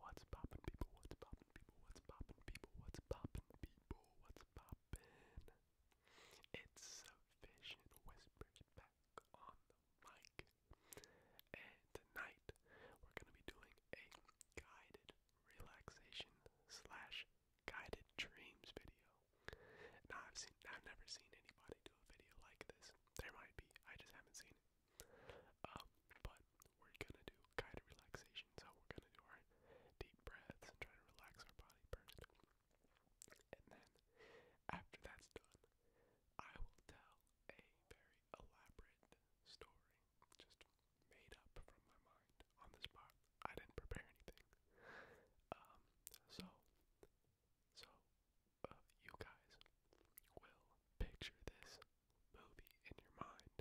What's poppin' people? What's poppin' people? What's poppin' people? What's poppin' people? What's poppin'? It's Sufficient Whispers back on the mic. And tonight we're gonna be doing a guided relaxation slash guided dreams video. Now I've seen I've never seen anybody do a video like this. There might be, I just haven't seen it. Um, but we're gonna do kind of relaxation, so we're gonna do our deep breaths and try to relax our body first. And then after that's done, I will tell a very elaborate story, just made up from my mind on the spot. I didn't prepare anything. Um, so, so uh, you guys will picture this movie in your mind.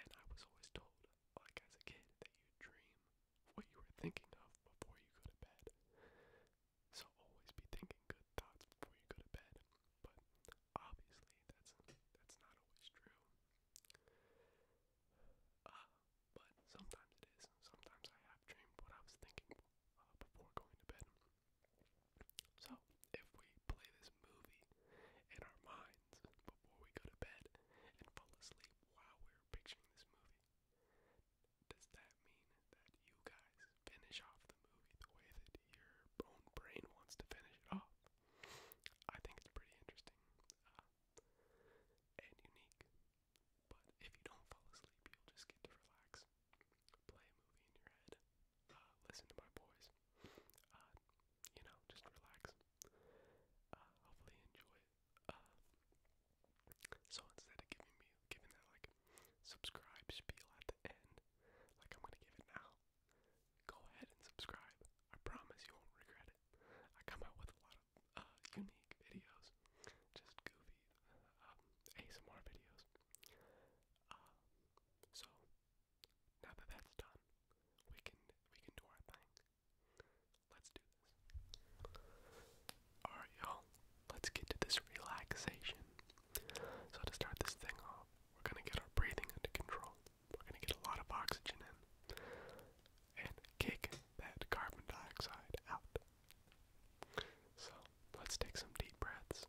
And I was always told, like as a kid, that you dream what you were thinking of before you go to bed. So always be thinking good thoughts before you go to bed. But obviously, that's that's not always true. Uh, but sometimes it is. Sometimes I have dreamed what I was thinking uh, before going to bed. So, if we play this movie in our minds before we go to bed and fall asleep while we're picturing this movie, does that mean that you guys finish off the movie the way that your own brain wants to finish it off? I think it's pretty interesting uh, and unique. But if you don't fall asleep, you'll just get to relax play a movie in your head, uh, listen to my boys, uh, you know, just relax. Uh, hopefully enjoy so instead of giving me giving that like subscribe spiel at the end, like I'm gonna give it now, go ahead and subscribe. I promise you won't regret it. I come out with a lot of unique videos, just goofy um, ASMR videos. Um, so now that that's done, we can we can do our thing. Let's do this. Alright, y'all. Let's get to this relaxation. So to start this thing off, we're gonna get our breathing under control. We're gonna get a lot of oxygen in and kick that carbon dioxide out. So let's take some deep breaths.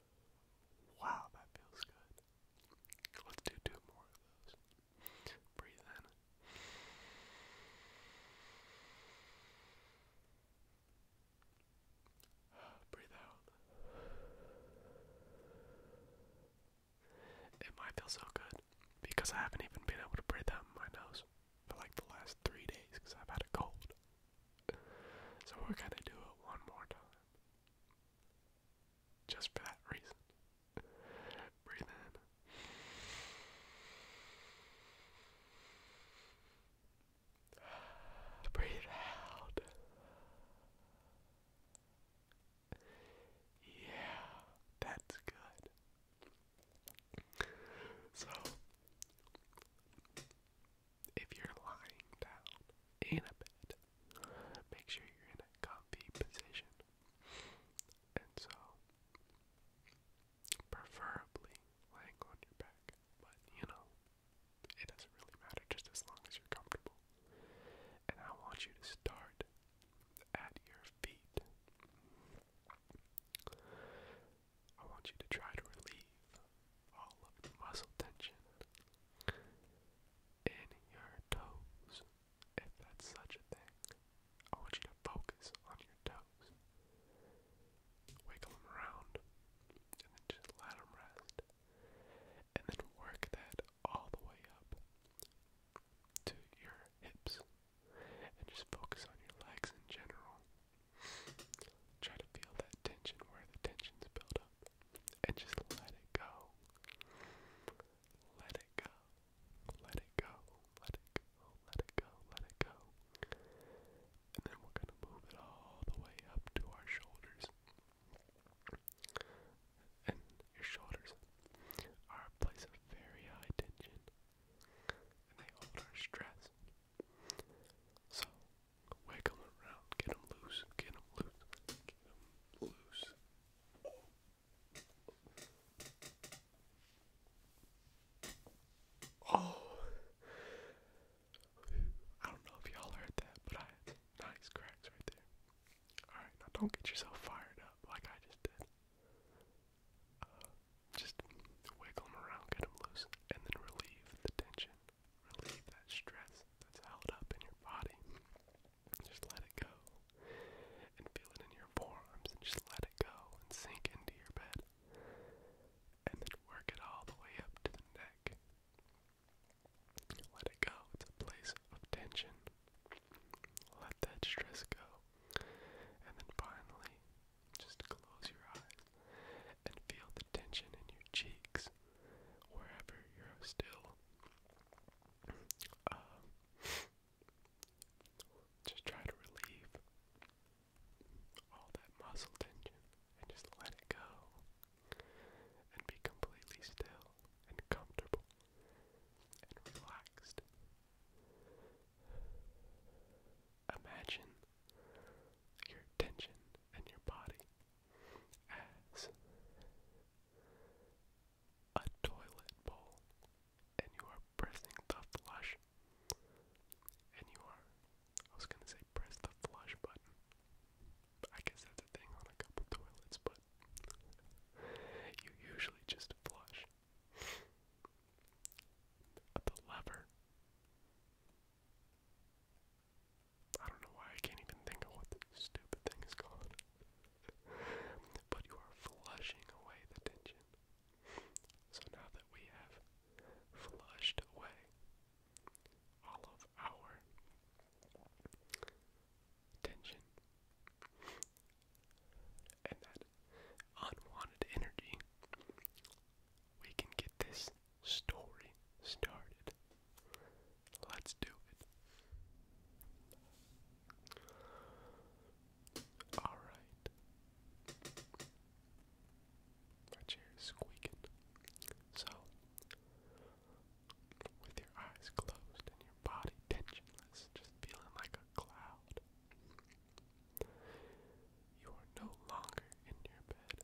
Wow, that feels good. Let's do two more of those. Breathe in. Breathe out. It might feel so good because I haven't even been able to breathe out my nose for like the last three days because I've had a cold. So we're gonna do it one more time. Just for that reason. Breathe in. Breathe out. Yeah, that's good. So, if you're lying down in a bed, make sure you're in a comfy position. And so, preferably laying on your back, but you know, it doesn't really matter just as long as you're comfortable. And I want you to start at your feet. I want you to try to relieve all of the muscle tension in your toes. If that's such a thing, I want you to focus on your toes. Wiggle them around and then just let them rest. And then work that all the way up to your hips. And just focus on your legs in general. Try to feel that tension where the tension's built up. And just let it go. Let it go. Let it go. Let it go. Let it go. Let it go. And then we're going to move it all the way up to our shoulders. And your shoulders are a place of very high tension. And they hold our stress. So Wiggle him around. Get them loose. Get them loose. Get him loose. Oh. I don't know if y'all heard that, but I nice cracks right there. Alright, now don't get yourself fired up like I just did. Uh, just wiggle them around, get them loose, and then relieve the tension relieve that stress that's held up in your body. Just let it go and feel it in your forearms and just let it go and sink into your bed. And then work it all the way up to the neck. Let it go. It's a place of tension. Let that stress go. And then finally, just close your eyes and feel the tension in your cheeks wherever you're still. Uh, just try to relieve all that muscle tension and just let it go and be completely still and comfortable and relaxed imagine your attention and your body as a toilet bowl, and you are pressing the flush, and you are, I was gonna say press the flush button. I guess that's a thing on a couple toilets, but you usually just flush. The lever I don't know why I can't even think of what the stupid thing is called. but you are flushing away the tension. So now that we have flushed away all of our tension and that unwanted energy, we can get this story started. Let's do it. Alright. My chair is squeaking. So, with your eyes closed and your body tensionless, just feeling like a cloud, you are no longer in your bed.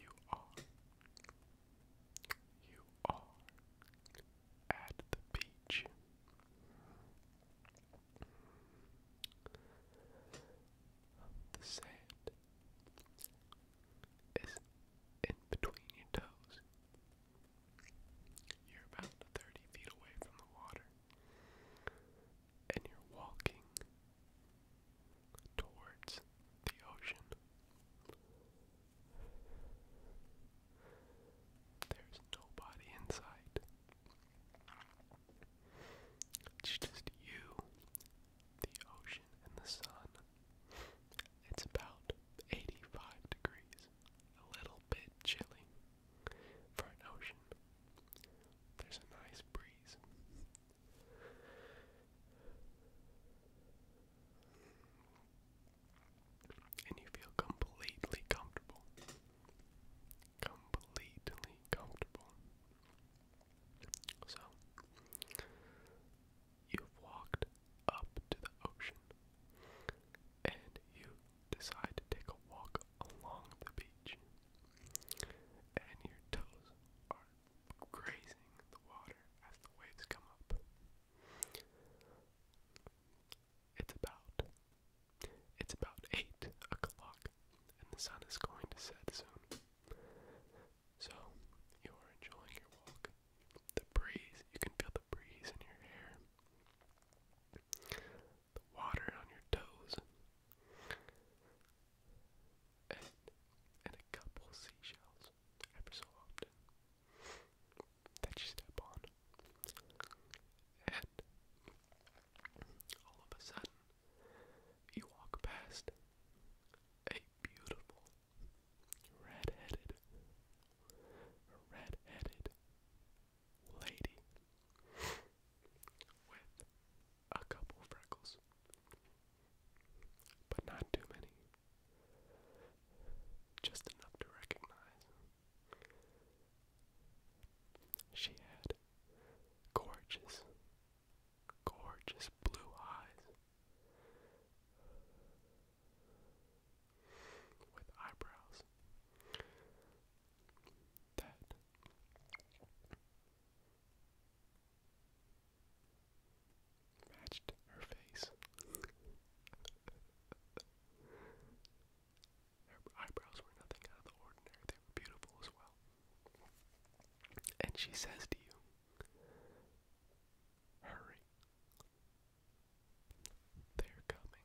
You are. You are at the beach. The sand is in between your toes. You're about 30 feet away from the water and you're walking towards the ocean. There's nobody inside. It's just you, the ocean, and the sun. It's about 85 degrees, a little bit chilly. For an ocean, there's a nice breeze. And you feel completely comfortable. Completely comfortable. So, you've walked up to the ocean and you decide to take a walk along the beach and your toes are grazing the water as the waves come up. It's about it's about eight o'clock, and the sun is going to set soon. So you are enjoying your walk. The breeze, you can feel the breeze in your hair the water on your toes. And, and a couple seashells every so often that you step on. And all of a sudden, you walk past a beautiful red-headed, lady with a couple freckles, but not too many, just enough to recognize. She had gorgeous, gorgeous blue eyes with eyebrows that. Matched her face. her eyebrows were nothing out of the ordinary, they were beautiful as well. And she says to you, Hurry. They're coming.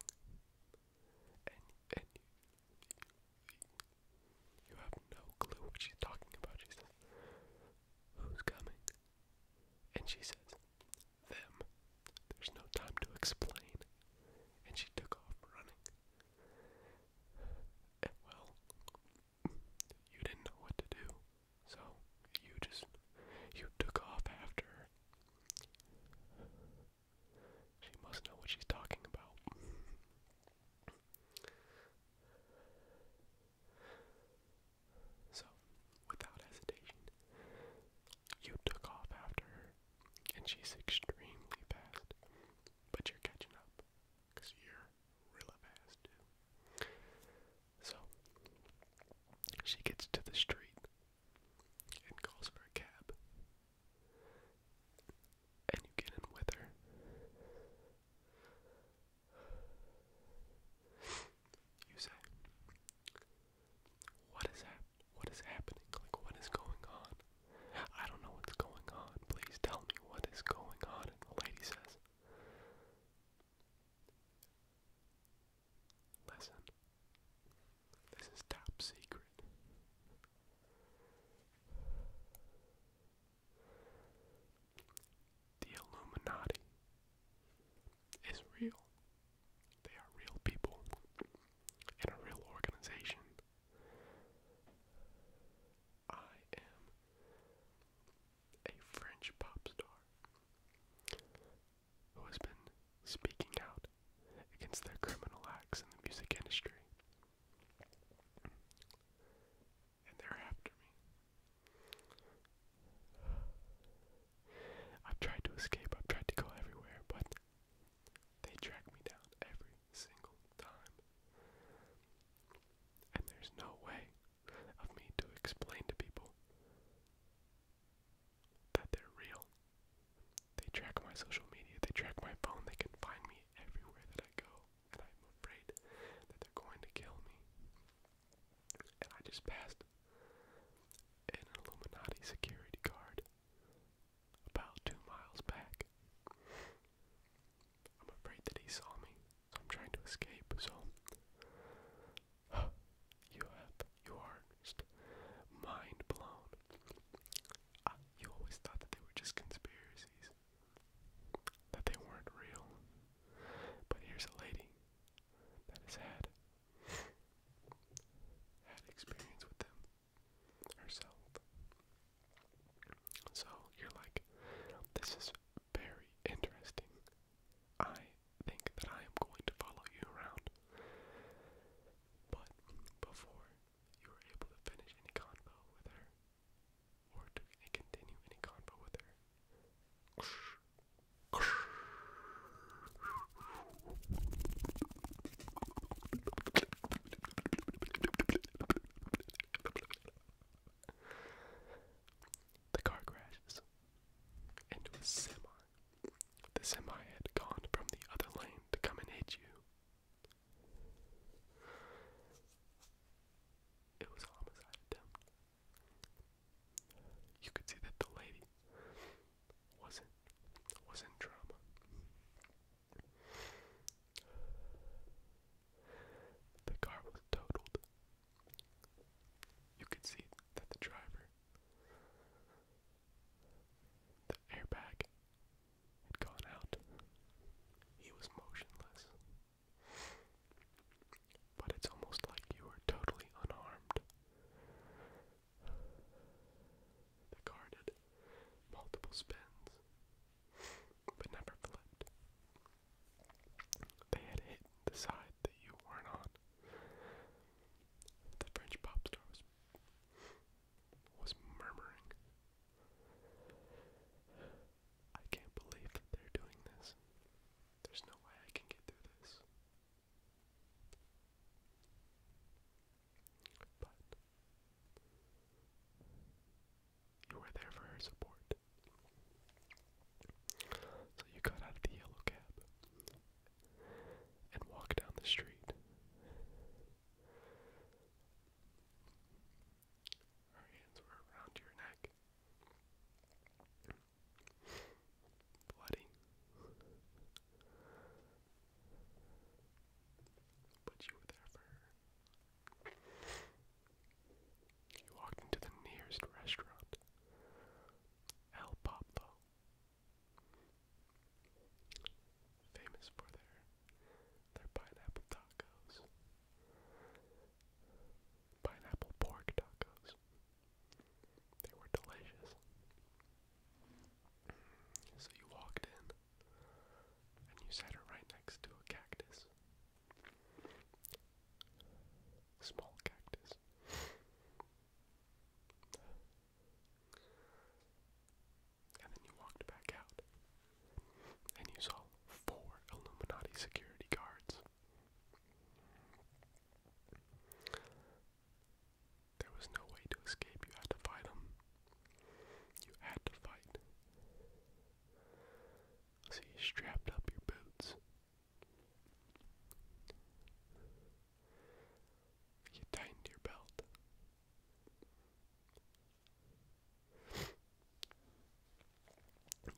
And, and you have no clue what she's talking about. She says, Who's coming? And she says, Them. There's no time to explain. And she took off running. Eh, well, you didn't know what to do. So you just, you took off after her. She must know what she's talking about. so, without hesitation, you took off after her, and she's extremely fast. But you're catching up, because you're really fast, too. So, she gets to the street and calls for a cab and you get in with her. You say, What is that? What is happening? Like, what is going on? I don't know what's going on. Please tell me what is going on. And the lady says, Listen, this is top secret. The Illuminati is real. They are real people in a real organization. I am a French pop star who has been speaking out against their criminal acts in the music industry. And they're after me. I've tried to escape, I've tried to go everywhere, but they track me down every single time. And there's no way of me to explain to people that they're real. They track my social media, they track my phone, they can find me everywhere that I go, and I'm afraid that they're going to kill me. And I just passed an Illuminati security guard about two miles back. I'm afraid that he saw me. So I'm trying to escape, so you have you are just mind blown you always thought that they were just conspiracies, that they weren't real. But here's a lady that has had had experience with them herself. So you're like, this is very interesting. I think that I am going to follow you around. But before you were able to finish any convo with her, or to continue any convo with her. The car crashes into a semi. The semi had gone from the other lane to come and hit you. It was a homicide attempt. You could see that the lady wasn't wasn't drama. The car was totaled. You could see that the driver, the airbag had gone out. He was motionless. But it's almost like you were totally unharmed. The car multiple spins, but never flipped. They had hit the side that you weren't on. The French pop star was was murmuring. I can't believe that they're doing this. There's no way I can get through this. But you were there for her support. So you got out of the yellow cab and walked down the street. Our hands were around your neck. Bloody. But you were there for her. You walked into the nearest restaurant, El Pablo famous for their their pineapple tacos, pineapple pork tacos. They were delicious. So you walked in, and you sat her right next to a cactus. Small cactus. And then you walked back out. And you saw four Illuminati security guards. There was no way to escape. You had to fight them. You had to fight. So you strapped up your boots. You tightened your belt.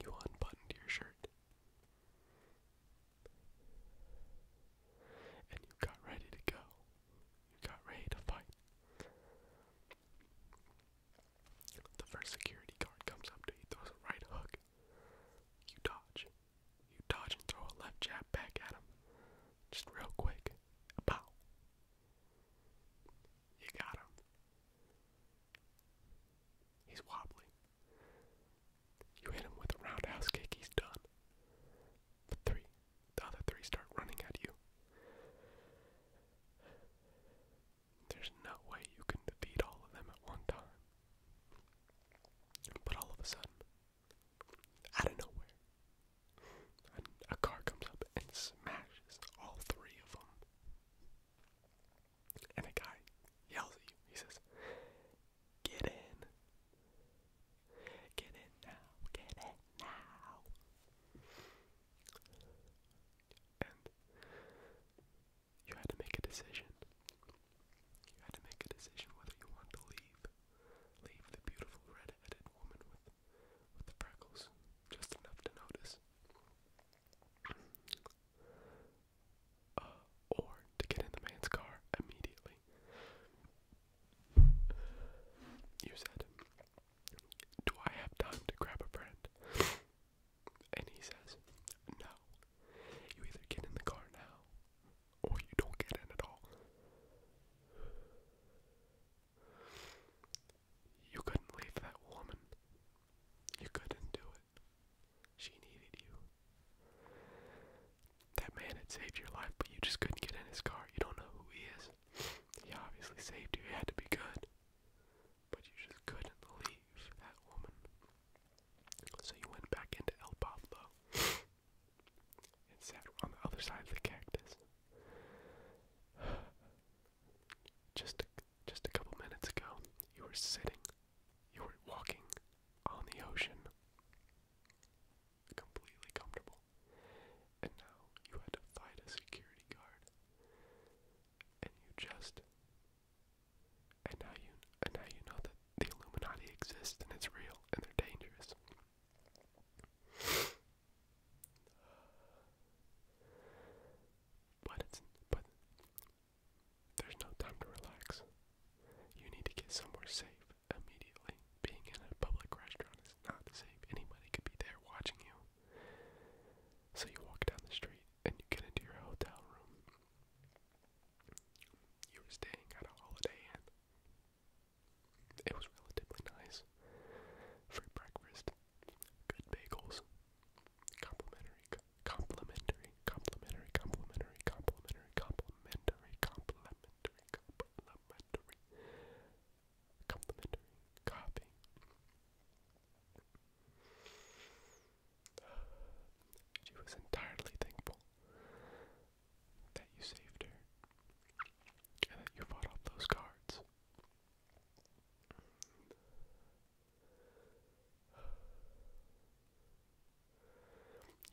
You unbuttoned your shirt. And you got ready to go. You got ready to fight. The first security guard comes up to you, throws a right hook. You dodge. You dodge and throw a left jab back at him. Just real quick. Pow. You got him. He's wobbly. You hit him with a roundhouse kick, he's done. The three, the other three start running at you. There's no way you can defeat all of them at one time. But all of a sudden, out of nowhere, and a car comes up and smashes all three of them. And a guy yells at you. He says, Get in. Get in now. Get in now. And you had to make a decision. You had to make a decision whether you wanted to leave leave the beautiful red woman with with the freckles just enough to notice. Uh, or to get in the man's car immediately. You said, Do I have time to grab a friend? And he says, No. You either get in the car now, or you don't get in at all. You couldn't leave that woman. You couldn't do it. She needed you. That man had saved your life, but you just couldn't get in his car. You don't know who he is. He obviously saved you. He had to be good. But you just couldn't leave that woman. So you went back into El and sat on the other side of the cactus. Just, just a couple minutes ago, you were sitting, you were walking on the ocean, completely comfortable, and now you had to fight a security guard, and you just, and now you, and now you know that the Illuminati exists and it's real and they're dangerous. But it's but there's no time to relax. You need to get somewhere safe immediately. Being in a public restaurant is not safe. Anybody could be there watching you. So you walk down the street and you get into your hotel room. You were staying at a Holiday Inn. It was relatively nice. Free breakfast, good bagels, complimentary, complimentary, complimentary, complimentary, complimentary, complimentary, complimentary, complimentary, complimentary coffee. She was entirely thankful that you saved her and that you fought off those cards.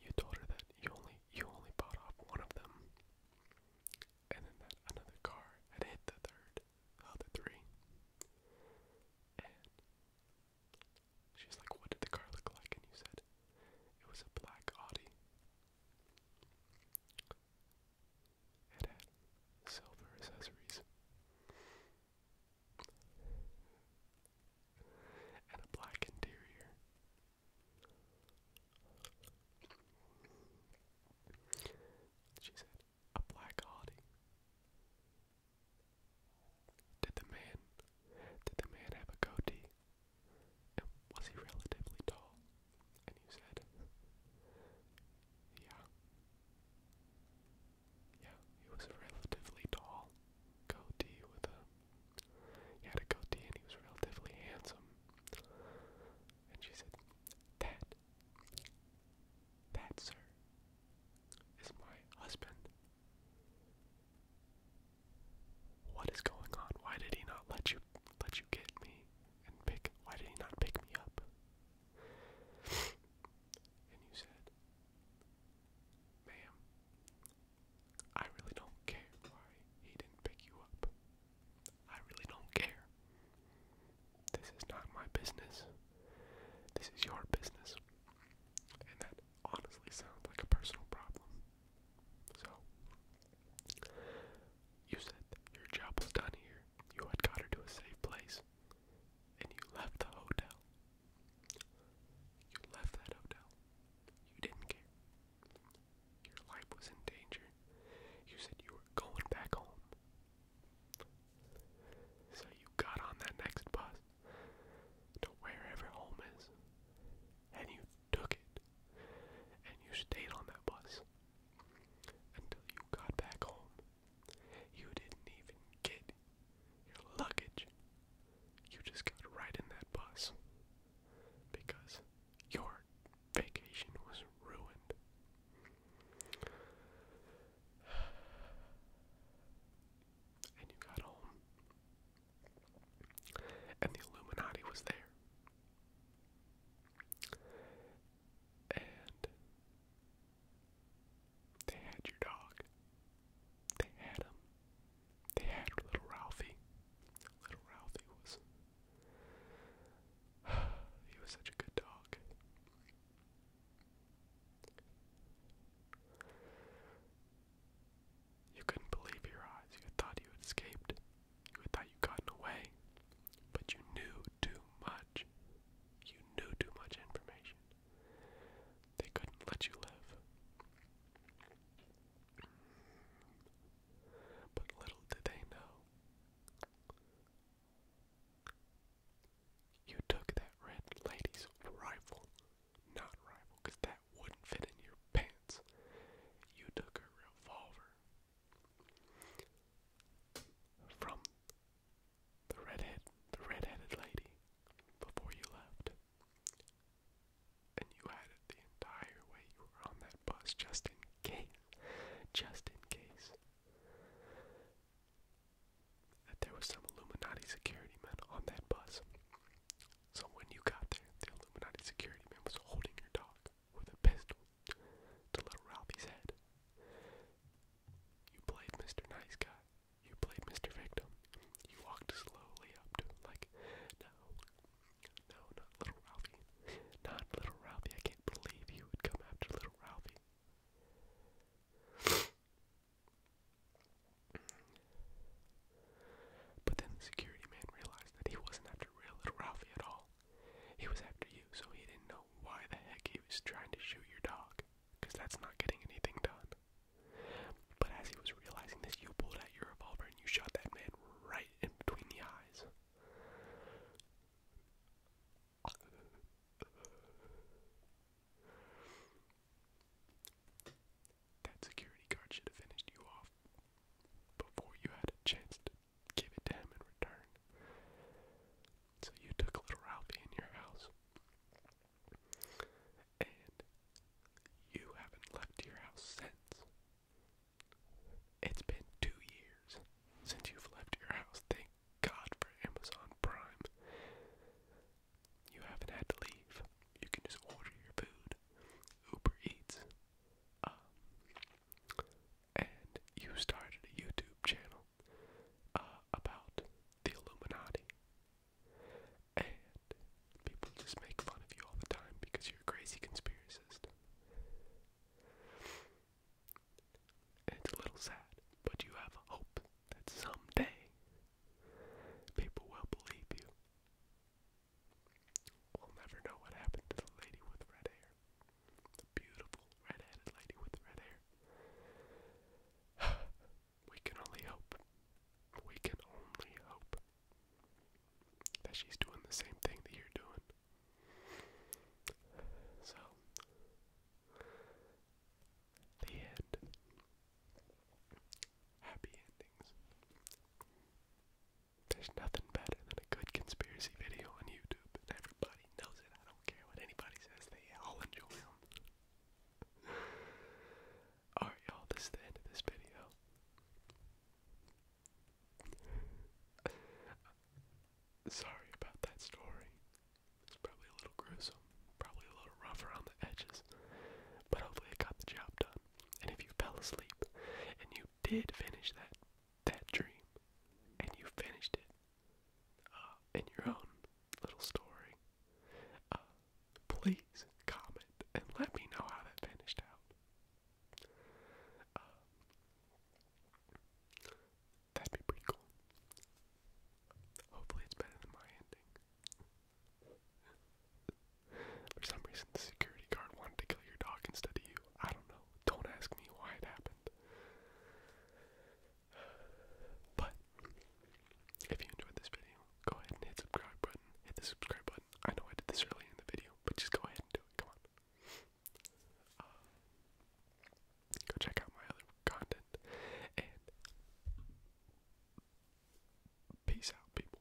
You told her that you only you only bought off one of them, and then that another car had hit the third, the three. And she's like, "What did the car look like?" And you said, "It was a black Audi it had silver accessories and a black interior. She said, a black Audi. Did the man, did the man have a goatee? Was he relatively tall? And you said, Yeah. Yeah, he was relatively tall. Goatee with a. He had a goatee and he was relatively handsome. And she said, That. That, sir, is my husband. What is going on? Why did he not let you let you get me? and pick why did he not pick me up? and you said, Ma'am, I really don't care why he didn't pick you up. I really don't care. This is not my business. This is your business. And that honestly sounds like a personal problem. So you said your job was done here. You had got her to a safe place. And you left the hotel. You left that hotel. You didn't care. Your life was in danger. You said you were going back home. So you got on that next bus to wherever home is. And you took it, and you stayed on that bus until you got back home. You didn't even get your luggage. You just got right in that bus because your vacation was ruined. And you got home. And the Illuminati was there. And they had your dog. They had him. They had little Ralphie. Little Ralphie was. he was such a good dog. You couldn't believe your eyes. You thought you had escaped you thought you'd away, but you knew too much. You knew too much information. They couldn't let you live. But little did they know. You took that red lady's rifle, not rifle, that wouldn't fit in your pants. You took her revolver, from the redhead, the redheaded lady, before you left, and you had it the entire way you were on that bus, just in case, just in case that there was some Illuminati security man on that bus. So when you got there, the Illuminati security man was holding your dog with a pistol to little Ralphie's head. You played Mr. Nice Guy. You played Mr. Victim. You walked slowly up to him like, no, no, not little Ralphie. Not little Ralphie. I can't believe you would come after little Ralphie. But then the security man realized that he wasn't after real little Ralphie at all. He was after you, so he didn't know why the heck he was trying to shoot your dog, because that's not getting anything done. But as he was realizing this, you pulled out your revolver and you shot that man right in between the eyes. That security guard should have finished you off before you had a chance to give it to him in return. So you took little Ralphie in your house. And you haven't left your house since. It's been two years since you've left your house. Thank God for Amazon Prime. You haven't had to leave. You can just order your food, Uber Eats, um, and you started a YouTube channel uh, about the Illuminati. And people just make fun of you all the time because you're a crazy conspiracist. it's a little sad, but you have hope that someday people will believe you. We'll never know what happened to the lady with red hair. The beautiful red lady with red hair. we can only hope. We can only hope that she's doing the same thing that you're doing. So, the end. Happy endings. There's nothing better than a good conspiracy video on YouTube, and everybody knows it. I don't care what anybody says, they all enjoy them. Alright, y'all, this is the end of this video. Sorry about that story. It's probably a little gruesome, probably a little rough around the edges, but hopefully it got the job done and if you fell asleep and you did finish that that dream, and you finished it uh, in your own little story, uh, please comment and let me know how that finished out. Uh, that'd be pretty cool. Hopefully, it's better than my ending. For some reason, the security guard wanted to kill your dog instead of you. I don't know. Don't ask me why it happened. But if you enjoyed this video, go ahead and hit subscribe button. Hit the subscribe button. I know I did this early in the video, but just go ahead Come on. Uh, go check out my other content and peace out, people.